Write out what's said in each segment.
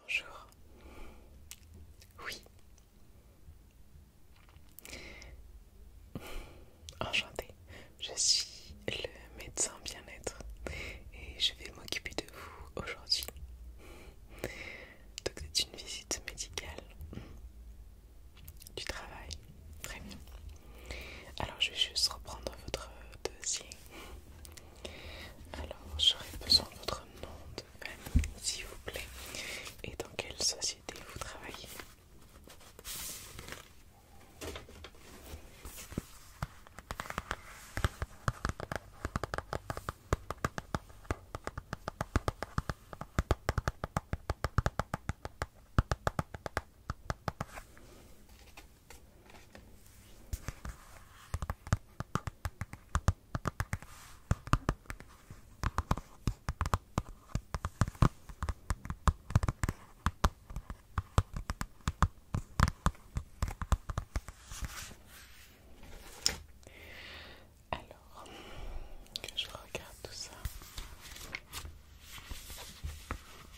Bonjour. Oui. Enchantée. Je suis le médecin bien-être et je vais m'occuper de vous aujourd'hui. Donc c'est une visite médicale. Du travail. Très bien. Alors je vais juste reprendre votre dossier. Alors j'aurais besoin de votre nom de famille s'il vous plaît et dans quelle société vous travaillez. Alors, que je regarde tout ça.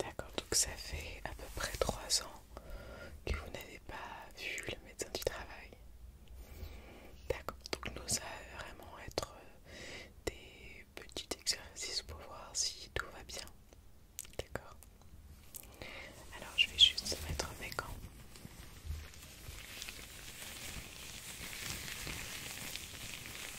D'accord, donc ça fait à peu près 3 ans que vous n'avez pas vu le médecin du travail. D'accord, donc nous allons vraiment être euh, des petits exercices pour voir si tout va bien. D'accord Alors je vais juste mettre mes gants.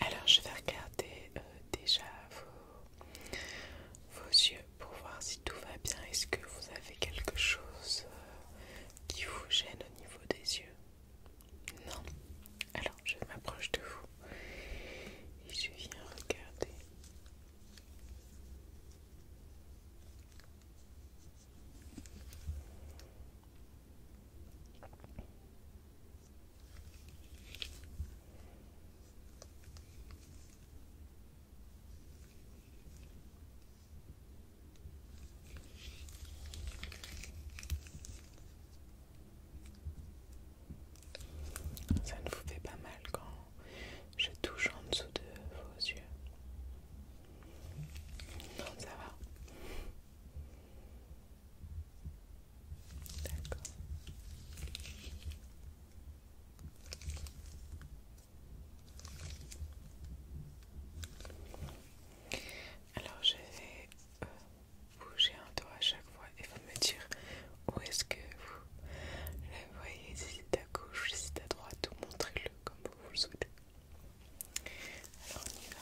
Alors je vais regarder euh, déjà vos, yeux pour voir si tout va bien. Est-ce que vous avez quelque chose euh, qui vous gêne au niveau des yeux non. Alors, je m'approche de vous et je viens regarder. Ça ne vous fait pas mal quand je touche en dessous de vos yeux. Non, ça va. D'accord. Alors je vais euh, bougez un doigt à chaque fois et vous me direz où est-ce que vous le voyez, si c'est à gauche, si c'est à droite, ou montrez-le comme vous le souhaitez. Alors on y va.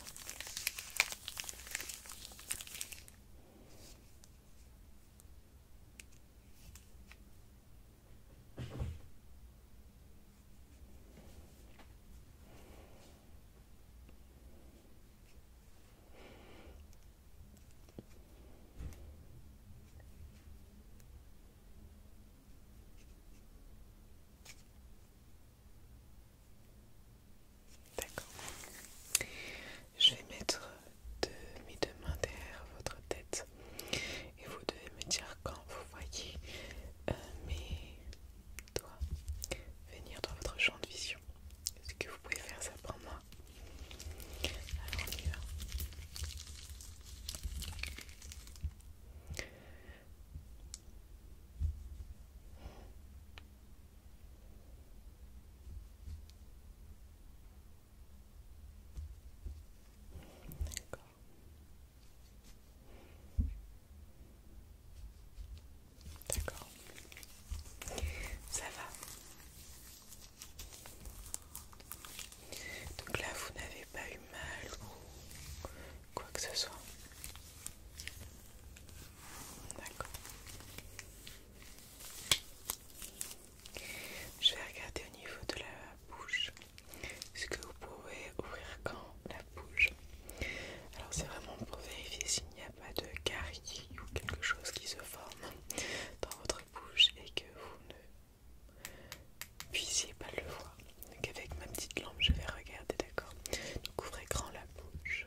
D'accord. Je vais mettre de, mes deux mains derrière votre tête et vous devez me dire quand vous voyez euh, mais doit venir dans votre champ de vision. Est-ce que vous pouvez faire ça pour moi Alors D'accord. Ça va. Donc là, vous n'avez pas eu mal ou quoi que ce soit. D'accord. Je vais regarder au niveau de la bouche. Est-ce que vous pouvez ouvrir quand bouge. Alors c'est vraiment pour vérifier s'il n'y a pas de carie ou quelque chose qui se forme dans votre bouche et que vous ne puissiez pas le voir. Donc avec ma petite lampe je vais regarder, d'accord Donc ouvrez grand la bouche.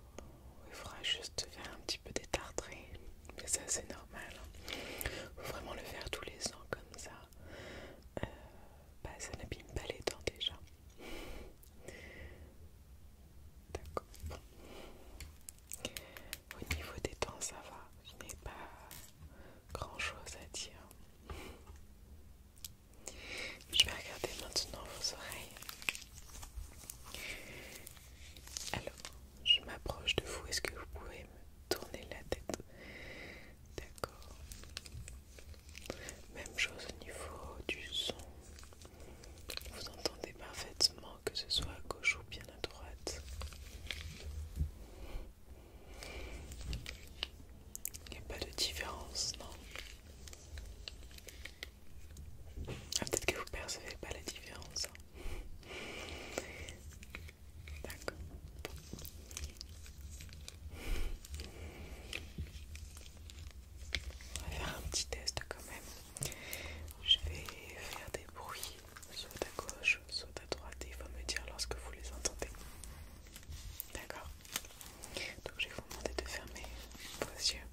il faudra juste faire un petit peu d'étartrer, mais ça c'est normal. Hein. Faut vraiment le faire tous les ans comme ça. Euh, bah, ça n'abîme pas les dents déjà. D'accord. Au niveau des dents, ça va. Je n'ai pas grand chose à dire. Je vais regarder maintenant vos oreilles. Alors, je m'approche de vous. Est-ce que vous pouvez me tourner la tête D'accord. Même chose au niveau du son. Vous entendez parfaitement que ce soit à gauche ou bien à droite. Il n'y a pas de différence, non ah, peut-être que vous ne percevez pas la différence. Hein. D'accord. On va faire un petit test quand même. Je vais faire des bruits, soit à gauche, soit à droite, et il faut me dire lorsque vous les entendez. D'accord Donc je vais vous demander de fermer vos yeux.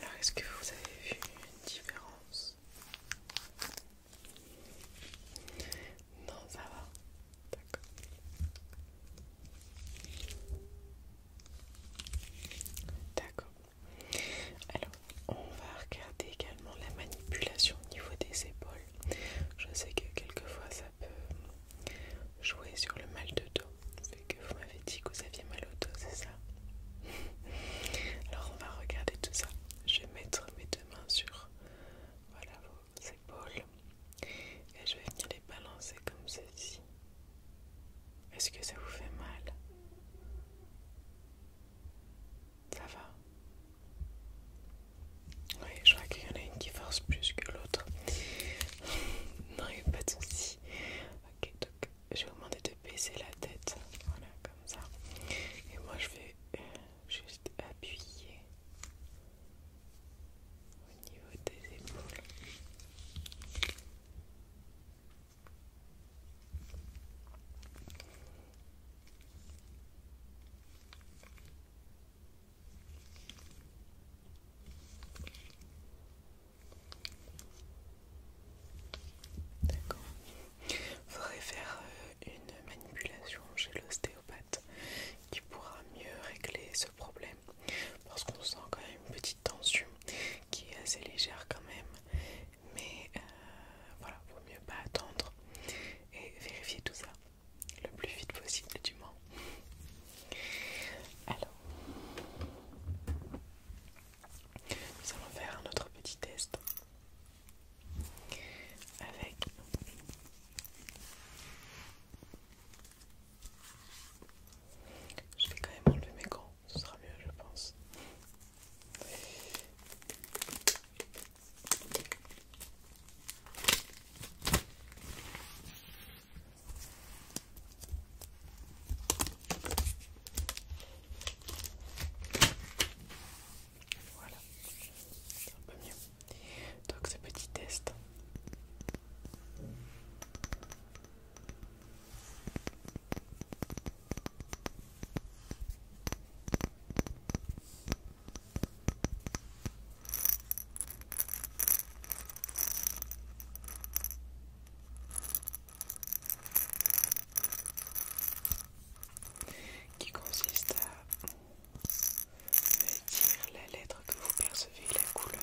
Alors, est-ce que vous avez vu une différence non, ça va. D'accord. D'accord. Alors, on va regarder également la manipulation au niveau des épaules. Je sais que quelquefois ça peut jouer sur le mal de dos. que vous m'avez dit que vous aviez mal au dos, c'est ça Alors on va regarder tout ça. Je vais mettre mes deux main mains sur vos épaules et je vais venir les balancer comme ceci. Est-ce que ça vous fait mal Ça va Oui, je vois qu'il y en a une qui force plus que l'autre. non, il n'y a pas de souci. Ok, donc je vais vous demander la tête, voilà comme ça. Et moi je vais euh, juste appuyer au niveau des épaules. D'accord faudrait faire euh, une manipulation chez l'ostéopathe qui pourra mieux régler ce problème parce qu'on sent quand même une petite tension qui est assez légère quand même mais euh, voilà vaut mieux pas attendre et vérifier tout ça le plus vite possible du moins alors nous allons faire un autre petit test avec je vais quand même enlever mes gants, ce sera mieux je pense. Voilà, c'est un peu mieux. Donc ce petit test qui consiste à dire la lettre que vous percevez, la couleur.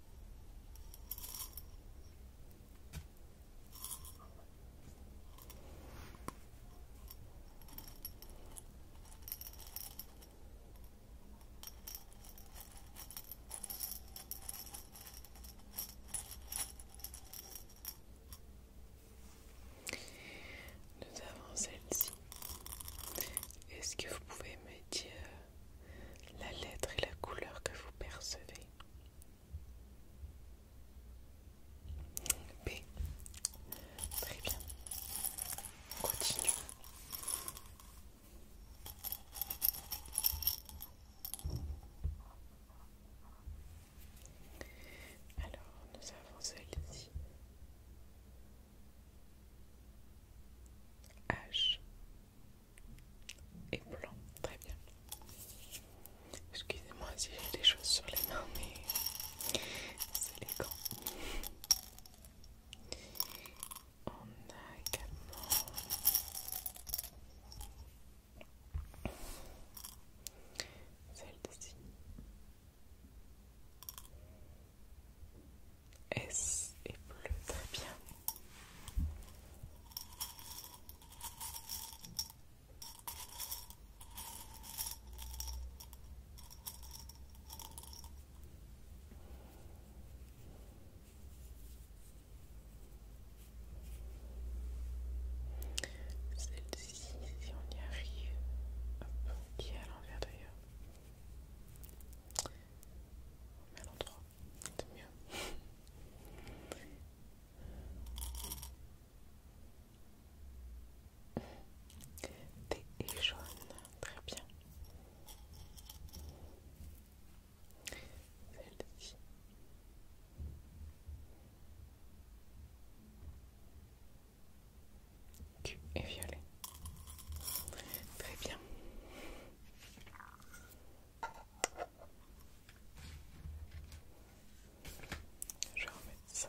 Nous avons celle-ci. Est-ce que vous pouvez me dire la lettre et la couleur que vous percevez. B. Très bien. continue Alors, nous avons celle-ci. H et blanc. Très bien. Excusez-moi si j'ai des choses sur les mains, mais c'est les gants. On a également celle-ci. Est-ce et bleu, très bien. Celle-ci, si on y arrive, hop, qui est à l'envers d'ailleurs. On met c'est mieux. Thé et jaune, très bien. Celle-ci. Q et violet. Très bien. Je vais remettre ça.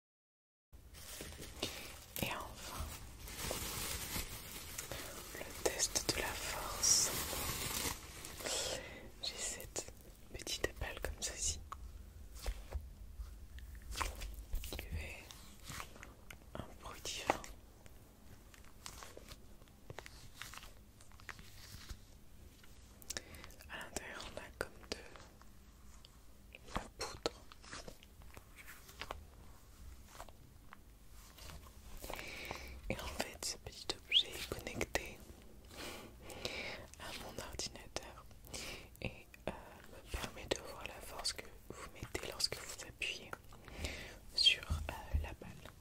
Et enfin, le test de la force. J'ai cette petite balle comme ceci qui fait un bruit différent. À l'intérieur, on a comme deux la poudre. Et en fait, ce petit objet est connecté à mon ordinateur et euh, me permet de voir la force que vous mettez lorsque vous appuyez sur euh, la balle.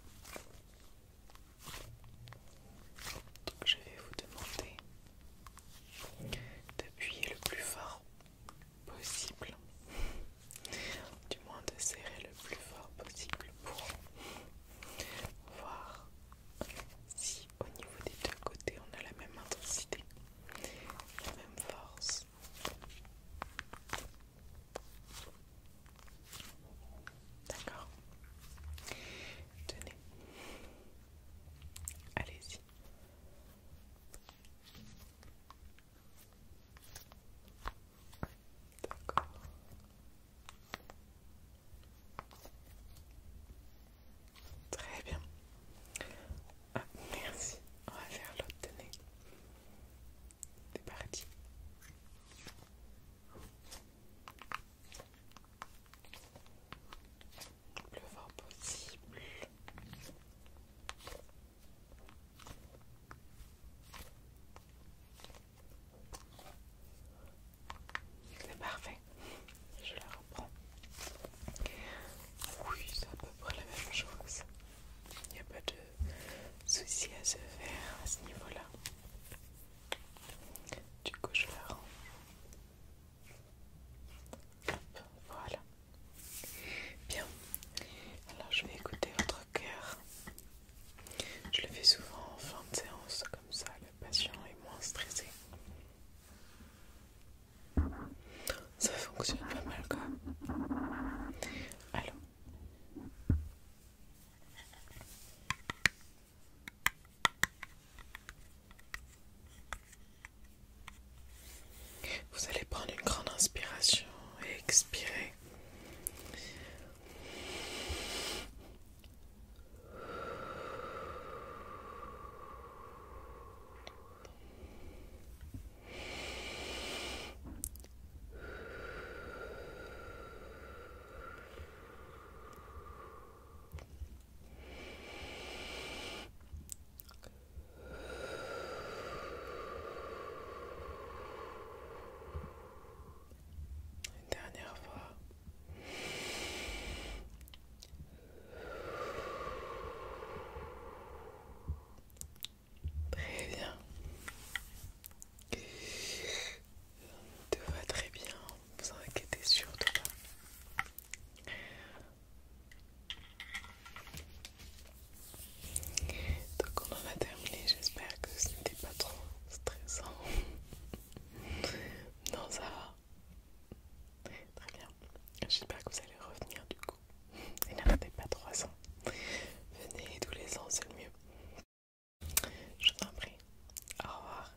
Donc je vais vous demander d'appuyer le plus fort possible, du moins de serrer le plus fort possible pour voir si au niveau des deux côtés on a la même intensité, la même force. D'accord Tenez. Allez-y. Très bien. Ah, merci. On va faire l'autre nez. C'est parti. Le vent possible. C'est parfait. Je la reprends. Oui, c'est à peu près la même chose. Il n'y a pas de souci à se faire à ce niveau-là. Du coup, je la rends voilà. Bien. Alors je vais écouter votre cœur. Je le fais souvent en fin de séance, comme ça le patient est moins stressé. Ça fonctionne pas mal quand même. Vous allez prendre une grande inspiration et expirer. Une dernière fois. Très bien. Tout va très bien, vous inquiétez surtout pas. Donc on en a terminé, j'espère que ce n'était pas trop stressant. non ça va. Très bien. J'espère que vous allez revenir du coup. Et n'arrêtez pas ans. Venez tous les ans, c'est le mieux. Je vous en prie. Au revoir.